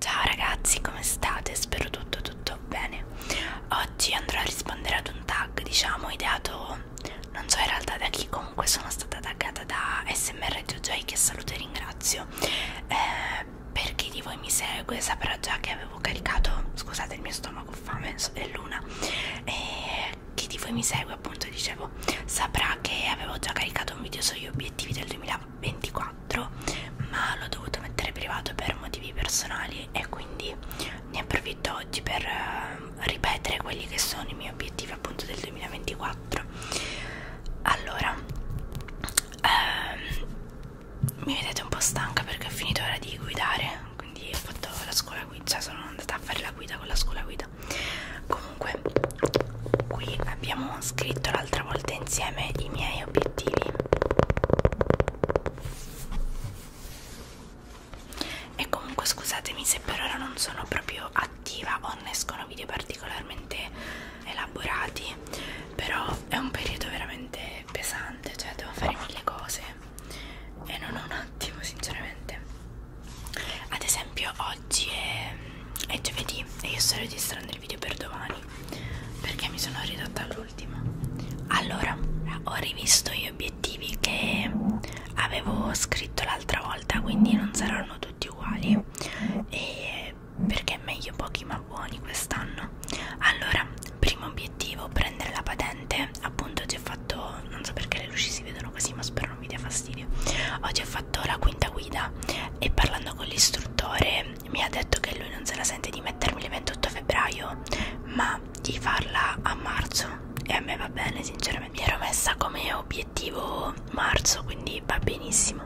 Ciao ragazzi, come state? Spero tutto tutto bene. Oggi andrò a rispondere ad un tag, diciamo, ideato non so in realtà da chi, comunque sono stata taggata da SMR Jojoy che saluto e ringrazio. Eh, per chi di voi mi segue saprà già che avevo caricato, scusate il mio stomaco, fame, è l'una, eh, chi di voi mi segue appunto dicevo saprà che avevo già caricato un video sugli obiettivi del 2024 ma l'ho dovuto mettere privato per motivi personali e quindi ne approfitto oggi per uh, ripetere quelli che sono i miei obiettivi appunto del 2024 allora ehm, mi vedete un po' stanca perché ho finito ora di guidare quindi ho fatto la scuola guida, cioè sono andata a fare la guida con la scuola guida. Comunque, qui abbiamo scritto l'altra volta insieme i miei obiettivi. E comunque scusatemi se per ora non sono proprio attiva o ne escono video particolarmente elaborati, però è un periodo veramente pesante, cioè devo fare mille cose e non ho un attimo sinceramente ad esempio oggi è, è giovedì e io sto registrando il video per domani perché mi sono ridotta all'ultimo allora ho rivisto gli obiettivi che avevo scritto l'altra volta quindi non saranno tutti uguali e perché perché meglio pochi ma buoni quest'anno allora primo obiettivo prendere la patente appunto oggi ho fatto non so perché le luci si vedono così ma spero non mi dia fastidio oggi oh, ho fatto la quinta guida e parlando con l'istruttore mi ha detto che lui non se la sente di mettermi il 28 febbraio ma di farla a marzo e a me va bene sinceramente mi ero messa come obiettivo marzo quindi va benissimo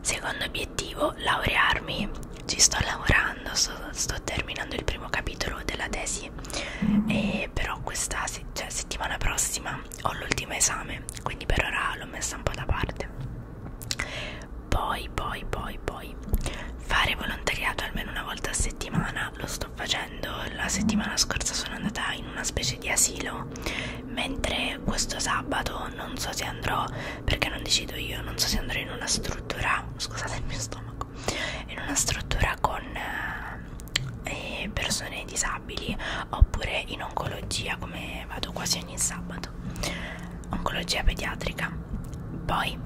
Secondo obiettivo, laurearmi. Ci sto lavorando, sto, sto terminando il primo capitolo della tesi, e però questa cioè, settimana prossima ho l'ultimo esame, quindi per ora l'ho messa un po' da parte. Poi, poi, poi, poi, fare volontariato almeno una volta a settimana, lo sto facendo. La settimana scorsa sono andata in una specie di asilo mentre questo sabato non so se andrò perché non decido io non so se andrò in una struttura scusate il mio stomaco in una struttura con eh, eh persone disabili oppure in oncologia come vado quasi ogni sabato oncologia pediatrica poi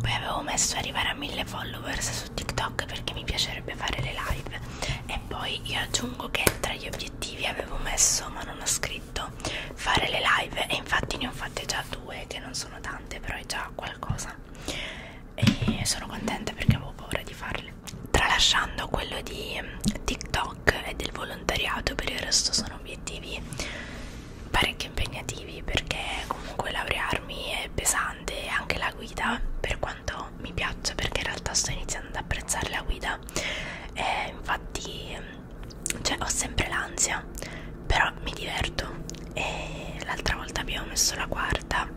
poi avevo messo arrivare a mille followers su TikTok perché mi piacerebbe fare le live e poi io aggiungo che tra gli obiettivi obiettivi avevo messo ma non ho scritto fare le live e infatti ne ho fatte già due che non sono tante però è già qualcosa e sono contenta perché avevo paura di farle tralasciando quello di mm, TikTok e del volontariato per il resto sono obiettivi parecchio impegnativi perché comunque laurearmi è pesante anche la guida per quanto mi piaccia perché in realtà sto iniziando ad apprezzare la guida e infatti cioè, ho sempre l'ansia però mi diverto e l'altra volta abbiamo messo la quarta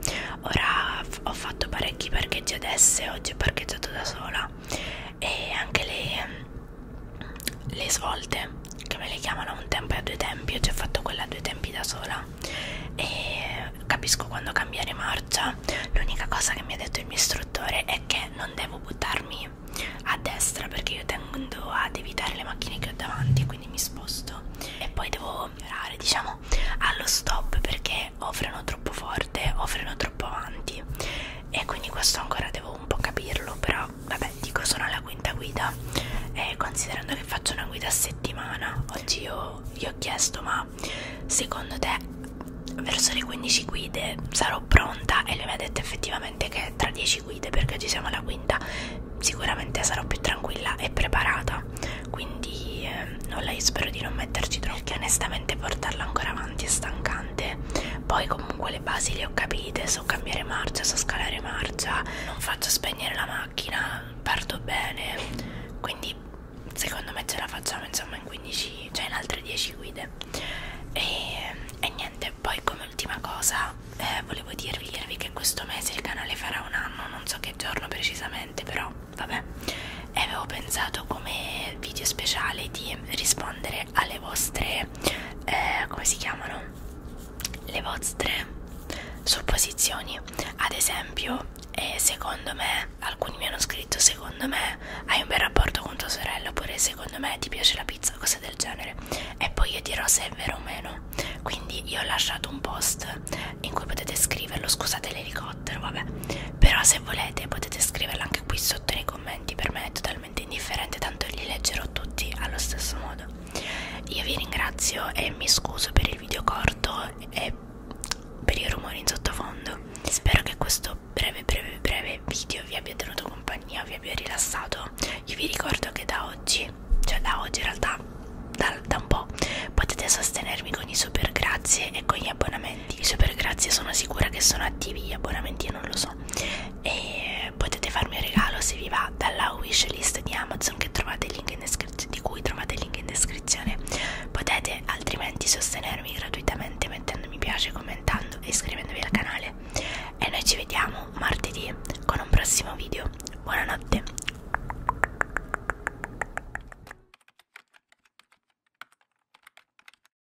ora ho fatto parecchi parcheggi adesso e oggi ho parcheggiato da sola e anche le le svolte che me le chiamano un tempo e a due tempi, io ci ho fatto quella a due tempi da sola e capisco quando cambiare marcia l'unica cosa che mi ha detto il mio istruttore è che non devo buttarmi a destra perché io tendo ad evitare le macchine che ho davanti quindi mi sposto e poi devo mirare diciamo allo stop perché o freno troppo forte o freno troppo avanti e quindi questo ancora devo un po' capirlo però vabbè dico sono alla quinta guida e considerando che faccio una guida a settimana oggi ho io vi ho chiesto ma secondo te verso le 15 guide sarò pronta e lui mi ha detto effettivamente che tra 10 guide perché ci siamo alla quinta sicuramente sarò più tranquilla e preparata quindi eh, nulla io spero di non metterci troppo perché onestamente portarla ancora avanti è stancante poi comunque le basi le ho capite so cambiare marcia so scalare marcia non faccio spegnere la macchina parto bene quindi secondo me ce la facciamo insomma in 15 cioè in altre 10 guide e, e niente poi come ultima cosa eh, volevo dirvi, dirvi che questo mese il canale farà un anno non so che giorno precisamente però vabbè e avevo pensato come video speciale di rispondere alle vostre eh, come si chiamano le vostre supposizioni ad esempio e eh, secondo me alcuni mi hanno scritto secondo me hai un bel rapporto con tua sorella oppure secondo me ti piace la pizza cose del genere e poi io dirò se è vero o meno quindi io ho lasciato un post in cui potete scriverlo scusate l'elicottero vabbè però se volete potete scriverlo anche qui sotto nei commenti per me è totalmente totalmente indifferente tanto li leggerò tutti allo stesso modo io vi ringrazio e mi scuso per il video corto e per i rumori in sottofondo spero che questo breve breve breve video vi abbia tenuto compagnia vi abbia rilassato io vi ricordo che da oggi cioè da oggi in realtà da, da un po' potete sostenermi con i super grazie e con gli abbonamenti i super grazie sono sicura che sono attivi gli abbonamenti non lo so e eh, potete farmi un regalo se vi va dalla wishlist di Amazon che trovate il link in descrizione di cui trovate il link in descrizione potete altrimenti sostenermi gratuitamente mettendo mi piace commentando e iscrivendovi al canale e noi ci vediamo martedì con un prossimo video buonanotte